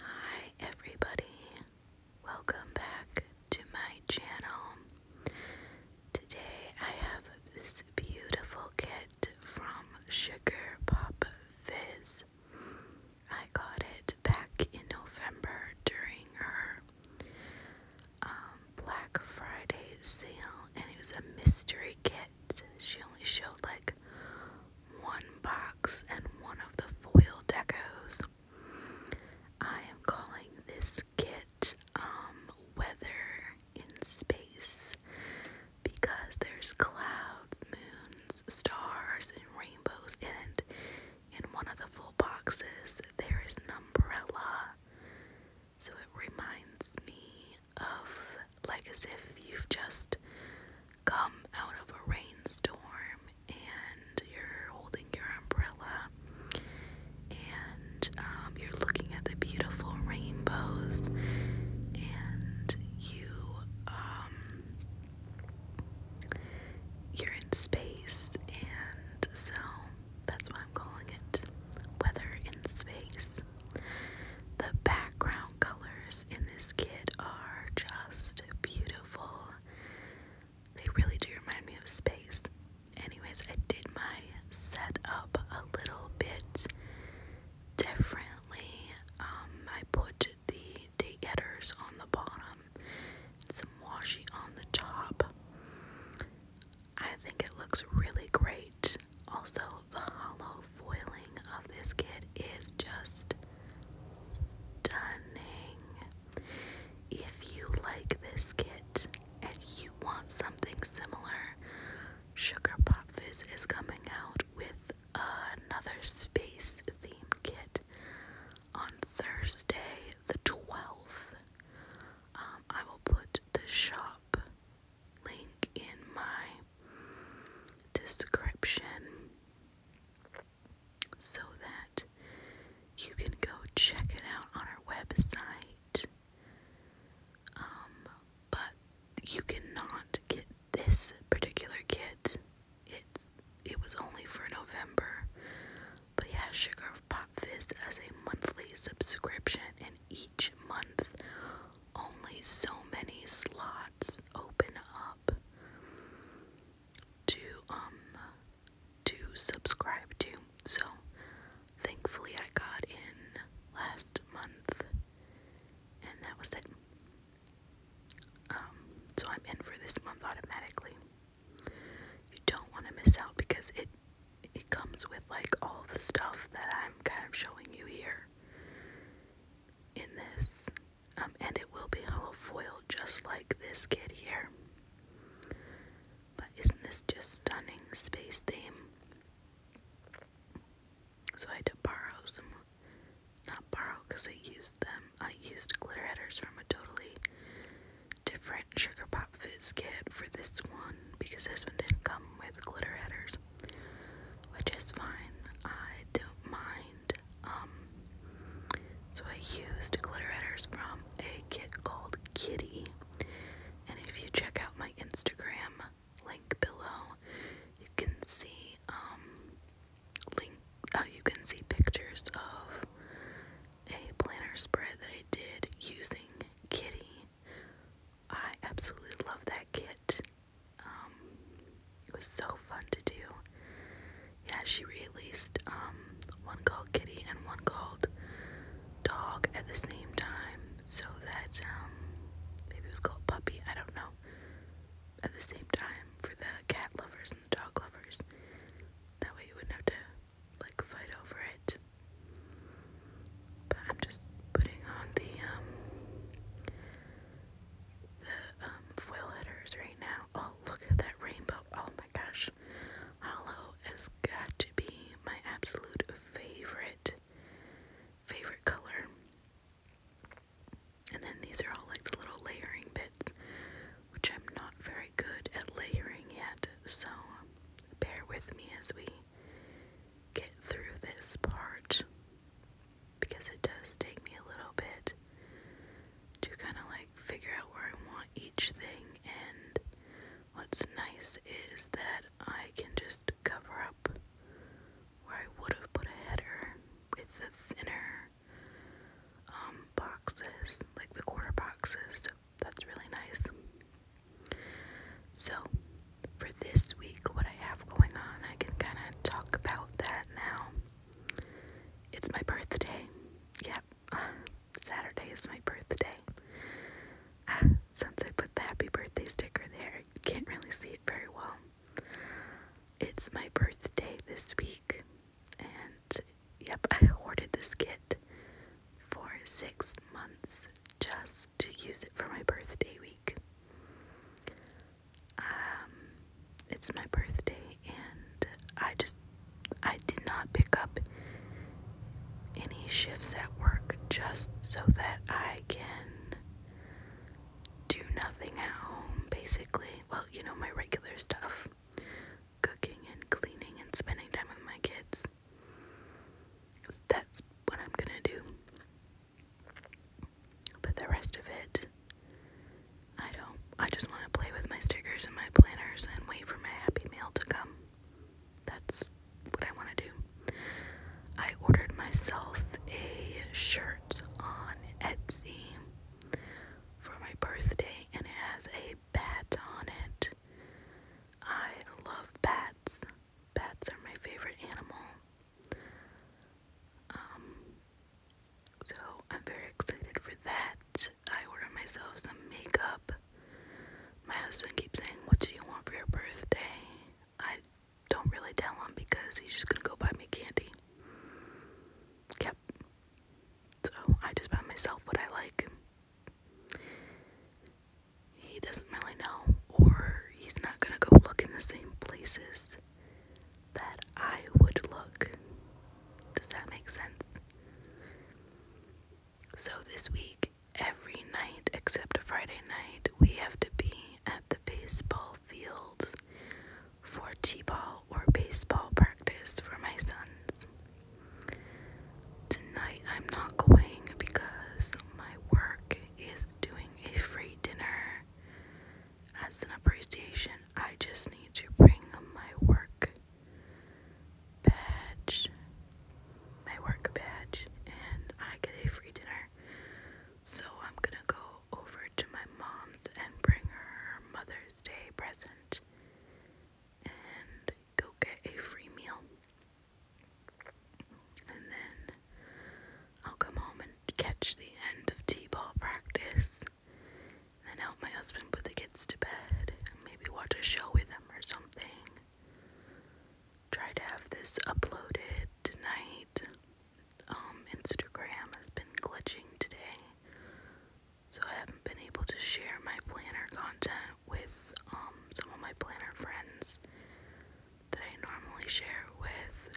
Hi everybody, welcome back to my channel. Today I have this beautiful kit from Sugar Pop Fizz. I got it back in November during her um, Black Friday sale, and it was a mystery kit. She only showed like one box, and one of the foil decos. I am calling this kit um, Weather in Space because there's clouds, moons, stars, and rainbows in In one of the full boxes, there is an umbrella. So it reminds me of like as if you've just come out of a rainstorm and you're holding your umbrella and um, you're looking at the beautiful rainbows and you um, you're in space and so that's why I'm calling it weather in space the background colors in this kit are just beautiful. They really do remind me of space. Anyways, I did my setup a little bit differently. Um, I put the date headers on the bottom some washi on the top. I think it looks really great. Also, the hollow foiling of this kit is just stunning. If you like this kit and you want something similar, Sugar Pop Fizz is coming out with another space theme kit on Thursday the 12th. Um, I will put the shop link in my description so that you can go check it out on our website. Um, but you cannot get this particular kit. It's it was only for November. But yeah, Sugar of Pop Fizz as a monthly subscription, and each month only so many slots open up to um to subscribe to. So thankfully I got in last month and that was it. Um so I'm in for this month automatically. You don't want to miss out because it it comes with like all the stuff that I'm kind of showing you here in this. Um, and it will be hollow foil just like this kid here. But isn't this just stunning space theme? So I had to borrow some, not borrow because I used them. I used glitter headers from a totally different Sugar Pop Fizz kit for this one because this one didn't come with glitter headers which is fine. I don't mind. Um, so I used glitter headers from a kit called Kitty, and if you check out my Instagram link below, you can see um, link. Oh, you can see pictures of a planner spread that I did using Kitty I absolutely love that kit. Um, it was so fun to do. Yeah, she released um, one called Kitty and one called Dog at the same time, so that um, maybe it was called Puppy, I don't know. At the same time for the cat lovers and the dog lovers. That way you wouldn't have to like fight over it. But I'm just putting on the um, the um, foil headers right now. Oh look at that rainbow. Oh my gosh. Hollow has got to be my absolute favorite favorite color. And then these are all like little layering bits, which I'm not very good at layering yet, so bear with me as we get through this part because it does take me a little bit to kind of like figure out where I want each thing. And what's nice is that I can just cover up where I would have put a header with the thinner um, boxes, like the quarter boxes. That's really nice. So, for this week, what I have going on, I can kind of talk about that now. It's my birthday. Yep, Saturday is my birthday. Ah, since I put the happy birthday sticker there, you can't really see it very well. It's my birthday this week, and yep, I hoarded this kit for six months just to use it for my birthday week. Um, it's my birthday, and I just I did not pick up any shifts at work just so that I can do nothing at home, basically. Well, you know, my regular stuff cooking and cleaning and spending time with my kids that's what I'm gonna do. But the rest of it, I don't. I just want to play with my stickers and my planners and wait for my happy mail to come. That's what I want to do. I ordered myself a shirt on Etsy for my birthday and it has a bat on it. I love bats. Bats are my favorite animal. Um, so I'm very excited for that. I ordered myself some makeup. My husband keeps saying, What do you want for your birthday? I don't really tell him because he's just gonna go buy me candy. Yep. So I just buy myself what I like he doesn't really know, or he's not gonna go look in the same places that I would look. Does that make sense? So, this week, every night except Friday night, we have to be at the baseball fields for t ball or baseball practice for my sons. Tonight I'm not going because my work is doing a free dinner. As an appreciation, I just need to bring my work badge, my work badge, and I get a free dinner. So I'm gonna go over to my mom's and bring her Mother's Day present go get a free meal. And then I'll come home and catch the end of T ball practice. then help my husband put the kids to bed. And maybe watch a show with them or something. Try to have this uploaded tonight. Um, Instagram has been glitching today. So I haven't been able to share my planner content with um, some of my planner friends that I normally share with.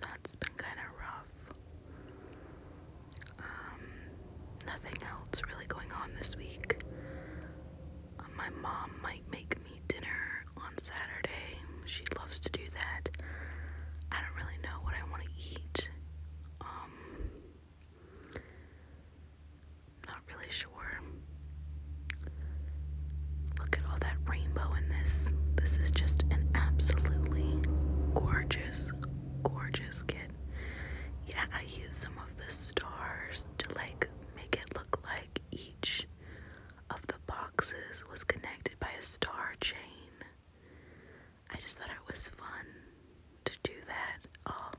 That's been kind of rough. Um, nothing else really going on this week. Um, my mom might make me dinner on Saturday. She loves to do that. I don't really know what I want to eat. Um, not really sure. Look at all that rainbow in this. This is just an absolutely gorgeous, gorgeous kit. Yeah, I use some of the stars to like make it look like each of the boxes was connected by a star chain. I just thought it was fun to do that. Oh,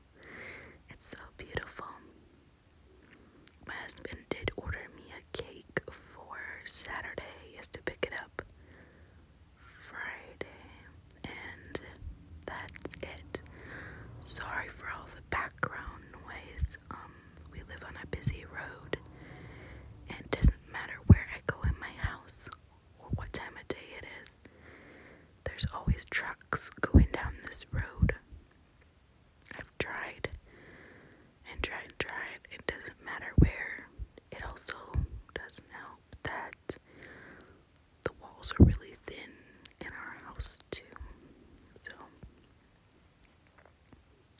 it's so beautiful. My husband did order me a cake for Saturday. He has to pick it up Friday. And that's it. Sorry for all the background noise. Um, we live on a busy road. And doesn't matter where I go in my house, what time of day it is. There's always trucks going down this road. I've tried and tried and tried. It doesn't matter where. It also doesn't help that the walls are really thin in our house, too. So,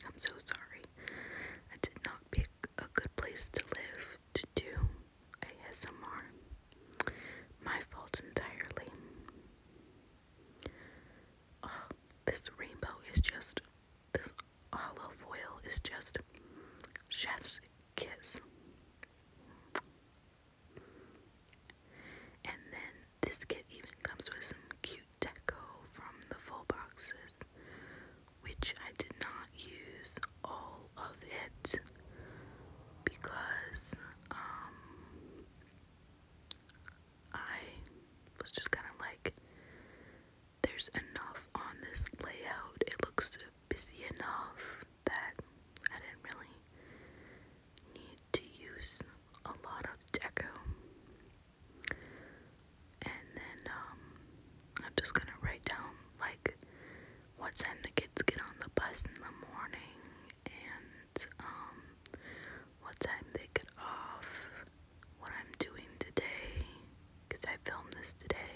I'm so sorry. I did not pick a good place to live to do ASMR. My fault entirely. Oh, this rainbow is just, this Hollow foil is just chef's kiss. And then this kit even comes with some cute deco from the full boxes which I did not use all of it because um, I was just kind of like there's enough on this layout. It looks busy enough that I didn't really need to use a lot of deco. And then um, I'm just gonna write down like what time the kids get on the bus in the morning and um what time they get off, what I'm doing today cuz I filmed this today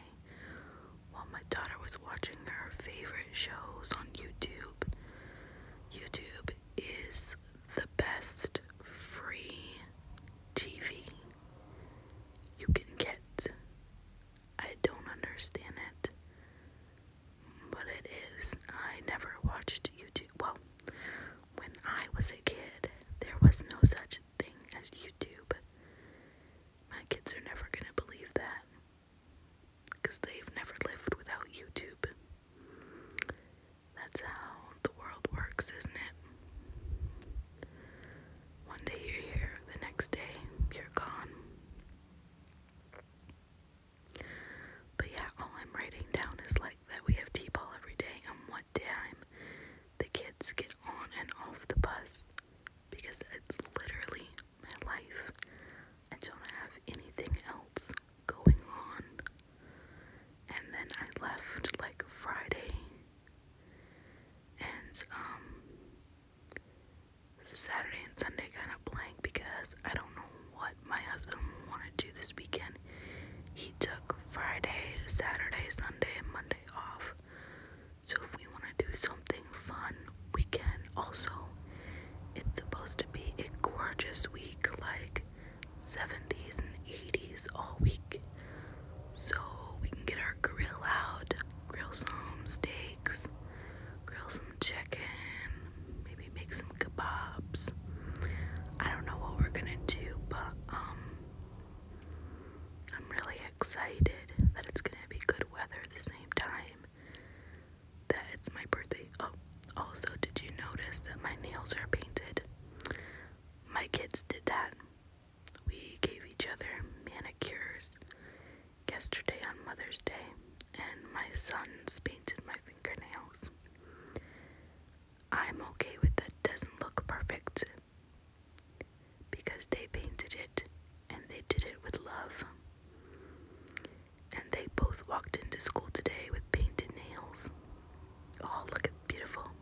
while my daughter was watching her favorite shows on YouTube. YouTube is the best free TV you can get. I don't understand it. But it is. I never watched YouTube. Well, when I was a kid, there was no such thing as YouTube. My kids are never going to believe that. Because they've never lived without YouTube. That's how the world works, isn't it? One day you're here, the next day you're gone. But yeah, all I'm writing down is like that we have tea ball every day and what time the kids get on and off the bus because it's literally my life. I don't have anything else going on. And then I left like Friday and um, Saturday and Sunday kind of blank because I don't know what my husband wanted to do this weekend. He took Friday, Saturday, Sunday, and Monday off. So if we want to do something fun, we can. Also, it's supposed to be a gorgeous week like 70s and 80s all week so we can get our grill out, grill some steaks, grill some chicken, maybe make some kebabs. I don't know what we're gonna do, but um, I'm really excited that it's gonna be good weather at the same time that it's my birthday. Oh, also, did you notice that my nails are painted? My kids did that. We gave each other manicures yesterday on Mother's Day, and my sons painted my fingernails. I'm okay with that, doesn't look perfect because they painted it and they did it with love. And they both walked into school today with painted nails. Oh, look at beautiful.